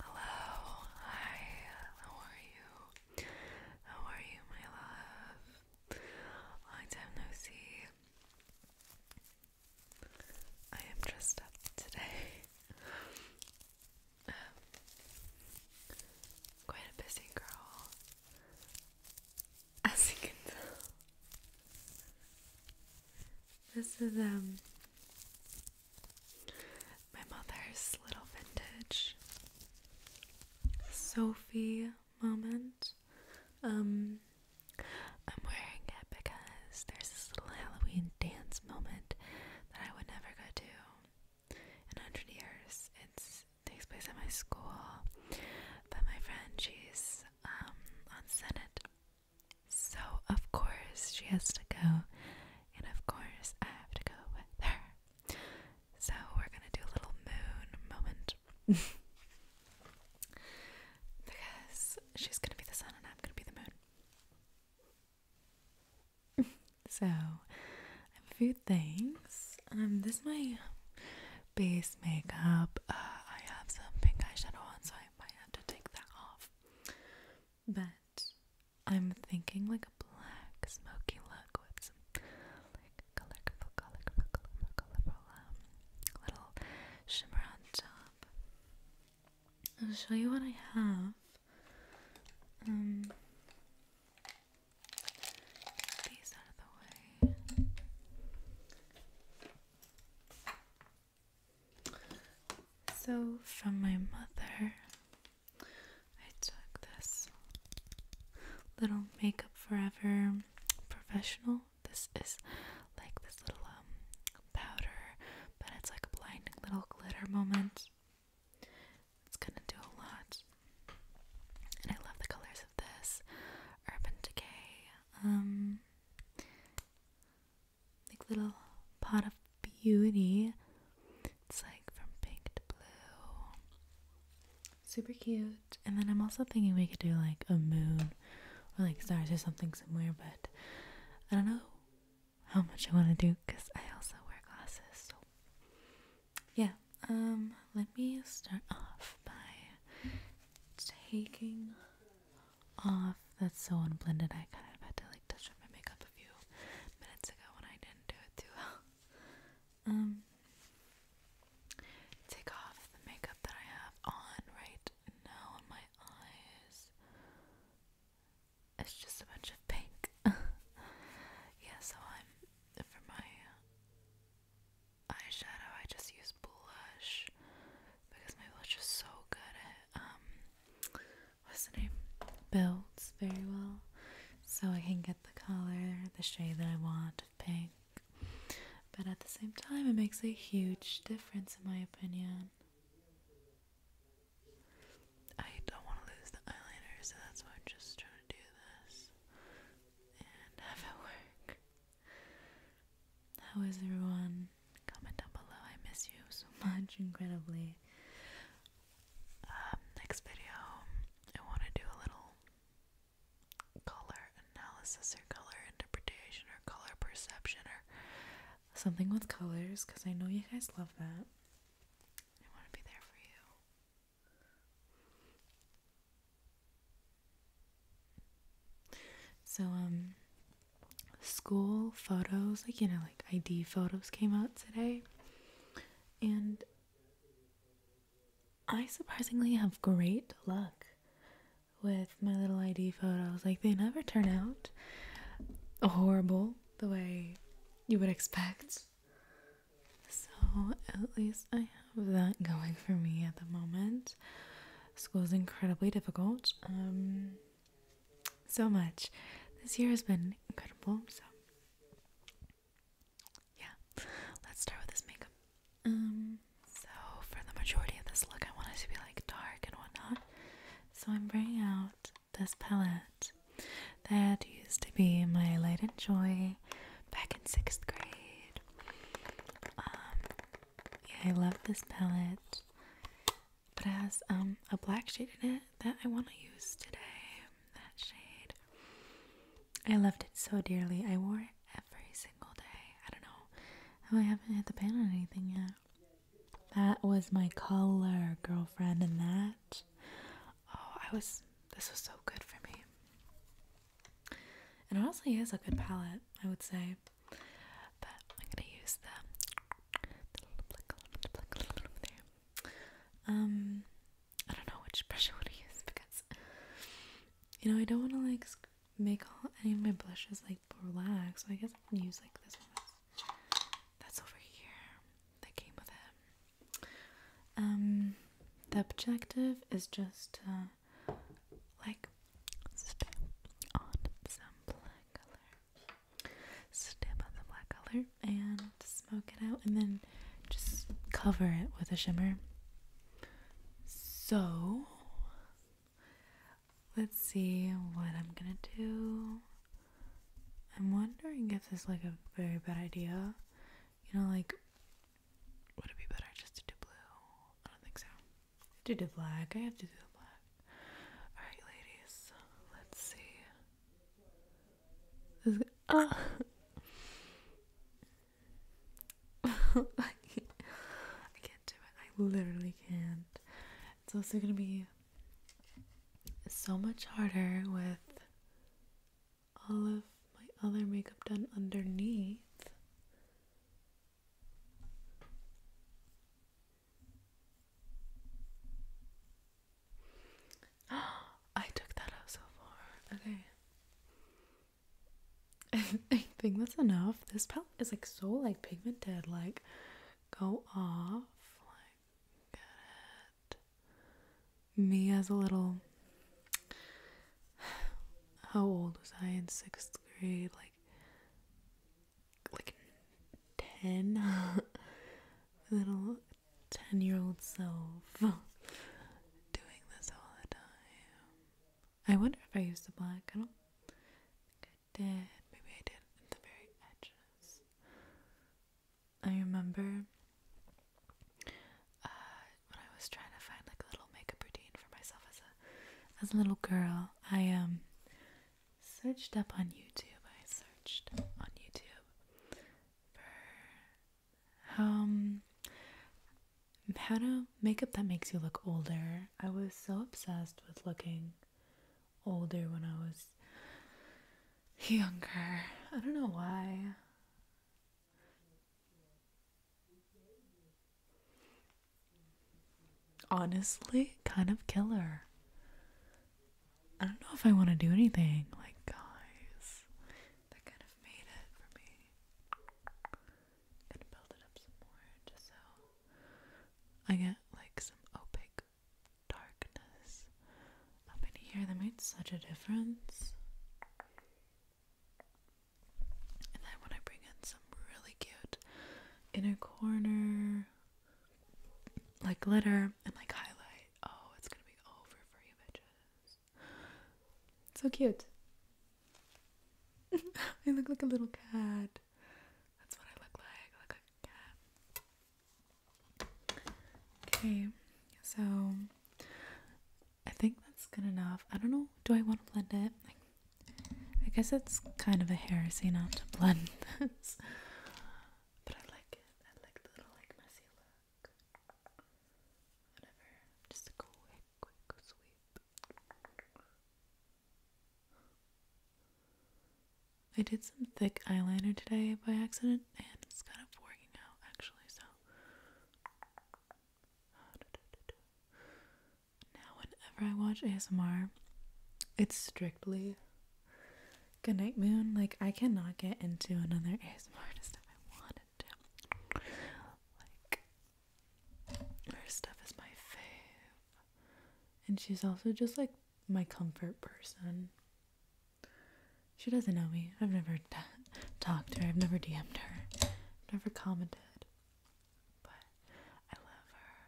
Hello, hi, how are you? How are you, my love? Long time no see. I am dressed up today. Um, quite a busy girl, as you can tell. This is um my mother's little vintage Sophie moment. Um, I'm wearing it because there's this little Halloween dance moment that I would never go to in a hundred years. it takes place at my school, but my friend, she's um, on Senate so, of course, she has to go, and of course, I have to go with her. So, we're gonna do a little moon moment because she's gonna be the sun and I'm gonna be the moon. so, a few things. Um, this is my base makeup. Uh, I have some pink eyeshadow on, so I might have to take that off. But I'm thinking like a black smoky look with some like colorful, colorful, colorful, colorful um, little shimmer on top. I'll show you what I have. Um, these out of the way. So, from my mother, I took this little Makeup Forever Professional. This is like this little um, powder, but it's like a blinding little glitter moment. It's gonna do a lot. And I love the colors of this Urban Decay. Um, like little pot of beauty. It's like from pink to blue. Super cute. And then I'm also thinking we could do like a moon or like stars or something somewhere, but I don't know how much I want to do because I also wear glasses. So yeah, um, let me start off by taking off. That's so unblended. I kind of had to like touch up my makeup a few minutes ago when I didn't do it too well. Um, take off the makeup that I have on right now on my eyes. It's just a bunch of pink. yeah, so I'm for my eyeshadow, I just use blush because my blush is so good at um what's the name? Builds very well. So I can get the color, the shade that I want of pink. But at the same time it makes a huge difference in my opinion. I don't want to lose the eyeliner, so that's why I'm just trying to do this and have it work. How is everyone? Comment down below. I miss you so much, incredibly. Um, next video, I want to do a little color analysis or color interpretation or color perception or something with colors because I know you guys love that. I want to be there for you. So, um, school photos, like, you know, like ID photos came out today. And I surprisingly have great luck with my little ID photos. Like, they never turn out horrible the way you would expect. So, at least I that going for me at the moment. School is incredibly difficult. Um, so much. This year has been incredible. So, yeah, let's start with this makeup. Um, so for the majority of this look, I want to be like dark and whatnot. So I'm bringing out this palette that used to be my light and joy back in sixth grade um, yeah, I love this palette, but it has um a black shade in it that I want to use today. That shade, I loved it so dearly. I wore it every single day. I don't know how I haven't hit the pan on anything yet. That was my color, girlfriend, and that. Oh, I was. This was so good for me and honestly is a good palette I would say but I'm gonna use the, um I don't know which brush I want to use because you know I don't want to like make all any of my blushes like black so I guess I can use like this one that's, over here that came with it um the objective is just to like stamp on some black color. Stamp on the black color and smoke it out and then just cover it with a shimmer. So let's see what I'm gonna do. I'm wondering if this is like a very bad idea. You know, like would it be better just to do blue? I don't think so. To do black. I have to do black. Alright, ladies. Let's see. ah. I can't do it. I literally can't. It's also gonna be so much harder with all of my other makeup done underneath. I took that out so far. Okay. I think that's enough. This palette is like so like pigmented. Like, go off me as a little how old was I in sixth grade? Like like ten little ten year old self doing this all the time. I wonder if I used the black. I don't think I did. Maybe I did at the very edges. I remember uh, when I was trying to find like a little makeup routine for myself as a as a little girl, I um, searched up on YouTube. I searched on YouTube for um how to makeup that makes you look older. I was so obsessed with looking older when I was younger. I don't know why. Honestly, kind of killer. I don't know if I want to do anything. Like, guys, that kind of made it for me. i gonna build it up some more just so I get like some opaque darkness up in here that made such a difference. And then when I bring in some really cute inner corner like glitter and like highlight, oh, it's gonna be over for you bitches. So cute. I look like a little cat. That's what I look like. look like a cat. Okay, so I think that's good enough. I don't know, do I want to blend it? I guess it's kind of a heresy not to blend but I like it. I like the little like messy look. Whatever, just a quick, quick sweep. I did some thick eyeliner today by accident and it's kind of working out actually, so. Now, whenever I watch ASMR, it's strictly Goodnight Moon. Like, I cannot get into another ASMR artist if I wanted to. Like, her stuff is my fav, And she's also just like my comfort person. She doesn't know me. I've never talked to her. I've never DM'd her. never commented. But I love her.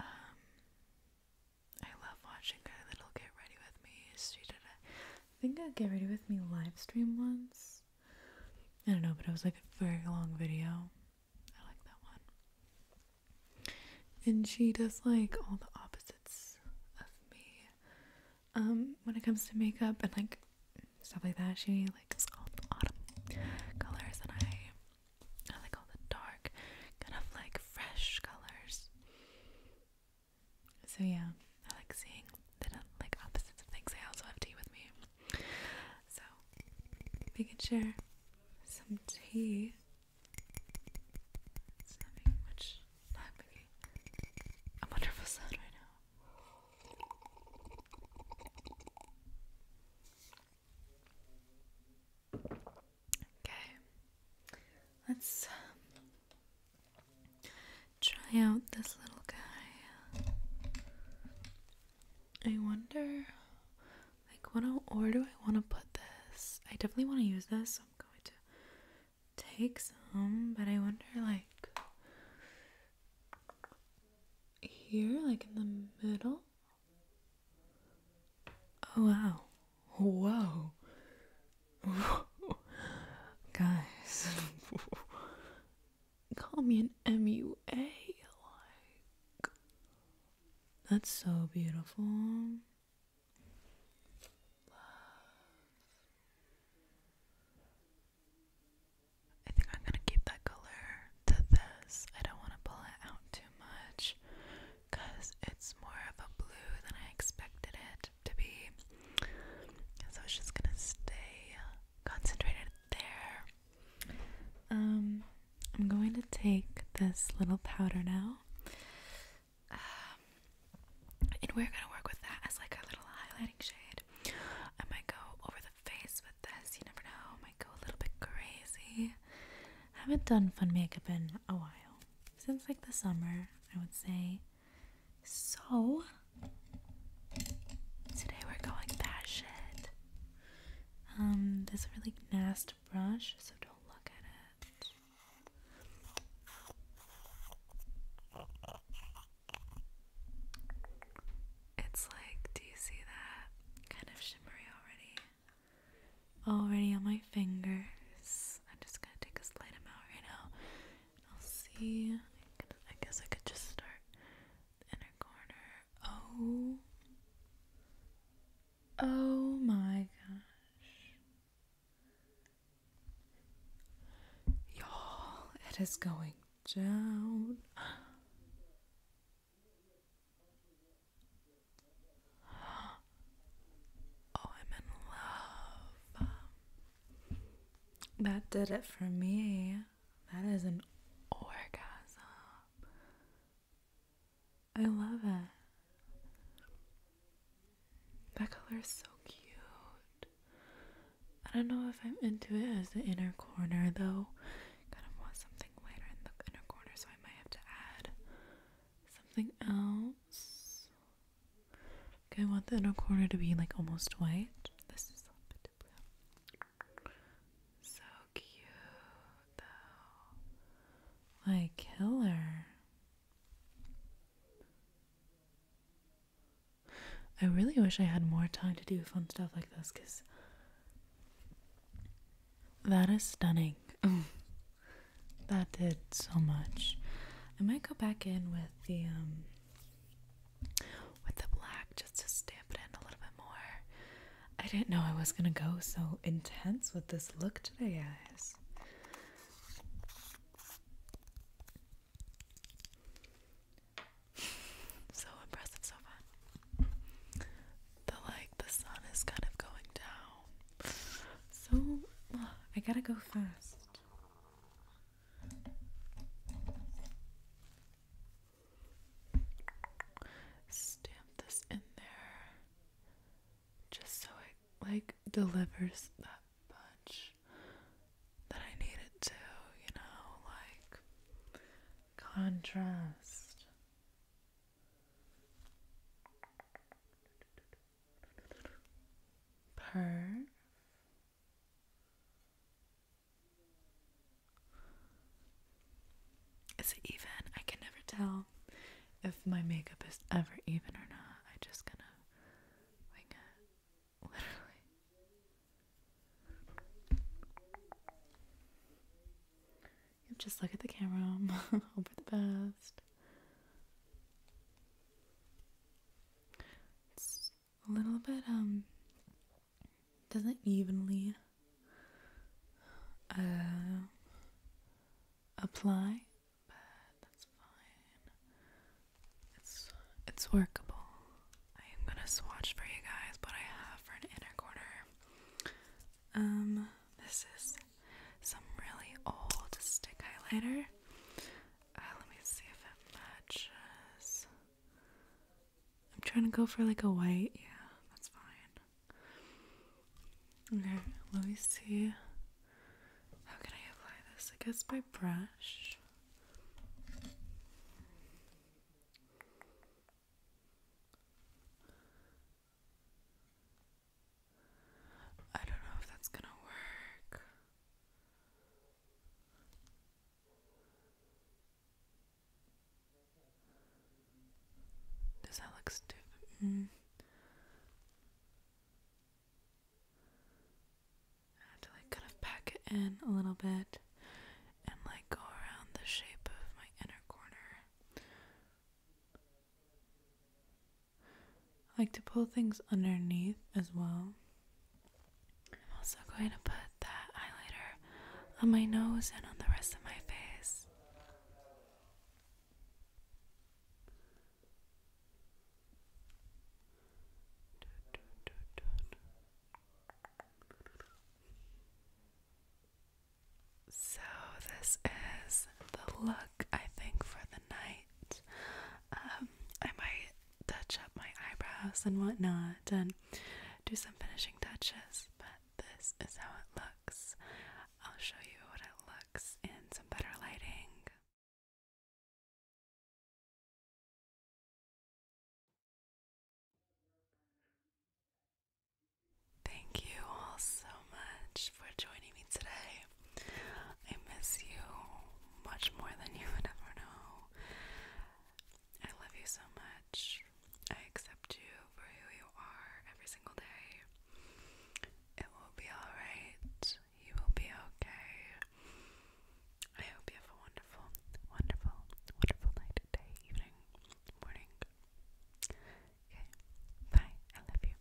Um, I love watching her little Get Ready With Me. She did a, I think a Get Ready With Me live stream once. I don't know, but it was like a very long video. I like that one and she does like all the opposites of me um when it comes to makeup and like stuff like that she likes all the autumn colors and I I like all the dark kind of like fresh colors so yeah I like seeing the like opposites of things I also have tea with me so we can share some tea it's having much not making a right now. Okay, let's um, try out this little guy. I wonder like, what i where do I want to put this? I definitely want to use this, I'm going to take some, but I wonder, like, here, like in the middle. Oh, wow. Whoa. Whoa. Guys, call me an MUA. Like, that's so beautiful. I think I'm gonna keep that color to this. I don't want to pull it out too much because it's more of a blue than I expected it to be. So it's just gonna stay concentrated there. Um I'm going to take this little powder now. Um, and we're going to work with that as like a little highlighting shade. I might go over the face with this. You never know. I might go a little bit crazy. I haven't done fun makeup in a while. Since like the summer, I would say. So, today we're going that shit. Um, this really nasty brush, so don't look at it. It's like, do you see that? Kind of shimmery already. Already on my fingers. I'm just gonna take a slight amount right now. I'll see. I guess I could just start inner corner. Oh. Oh my gosh. Y'all, it is going down. Oh, I'm in love. That did it for me. That is an orgasm. I love it. That color is so cute. I don't know if I'm into it as the inner corner though. Kind of want something lighter in the inner corner, so I might have to add something else. Okay, I want the inner corner to be like almost white. This is a bit blue. So cute, though. My killer. I really wish I had more time to do fun stuff like this because that is stunning. that did so much. I might go back in with the um with the black just to stamp it in a little bit more. I didn't know I was gonna go so intense with this look today, guys. So impressive, so fun. The like the sun is kind of going down. So I gotta go fast. Stamp this in there just so it like delivers that punch that I needed to, you know, like contrast. Perfect. Is it even? I can never tell if my makeup is ever even or not. I just gonna wing it. Literally. just look at the camera, hope for the best a little bit um doesn't evenly uh, apply, but that's fine. It's it's workable. I am gonna swatch for you guys but I have for an inner corner. Um, this is some really old stick highlighter. Uh, let me see if it matches. I'm trying to go for like a white. Yeah, that's fine. Okay, let me see. How can I apply this? I guess by brush. I don't know if that's gonna work. Does that look stupid? Mm. I have to like kind of pack it in a little bit and like go around the shape of my inner corner. I like to pull things underneath as well. I'm also going to put that highlighter on my nose and on the rest of my face. So, this is the look I think for the night. Um, I might touch up my eyebrows and whatnot and do some finishing touches, but this is how it looks. I'll show you what it looks in some better lighting. Thank you all so much for joining me today. I miss you much more than you would ever know. I love you so much. I accept you for who you are every single day. It will be alright. You will be okay. I hope you have a wonderful, wonderful, wonderful night, day, evening, morning. Okay, bye. I love you.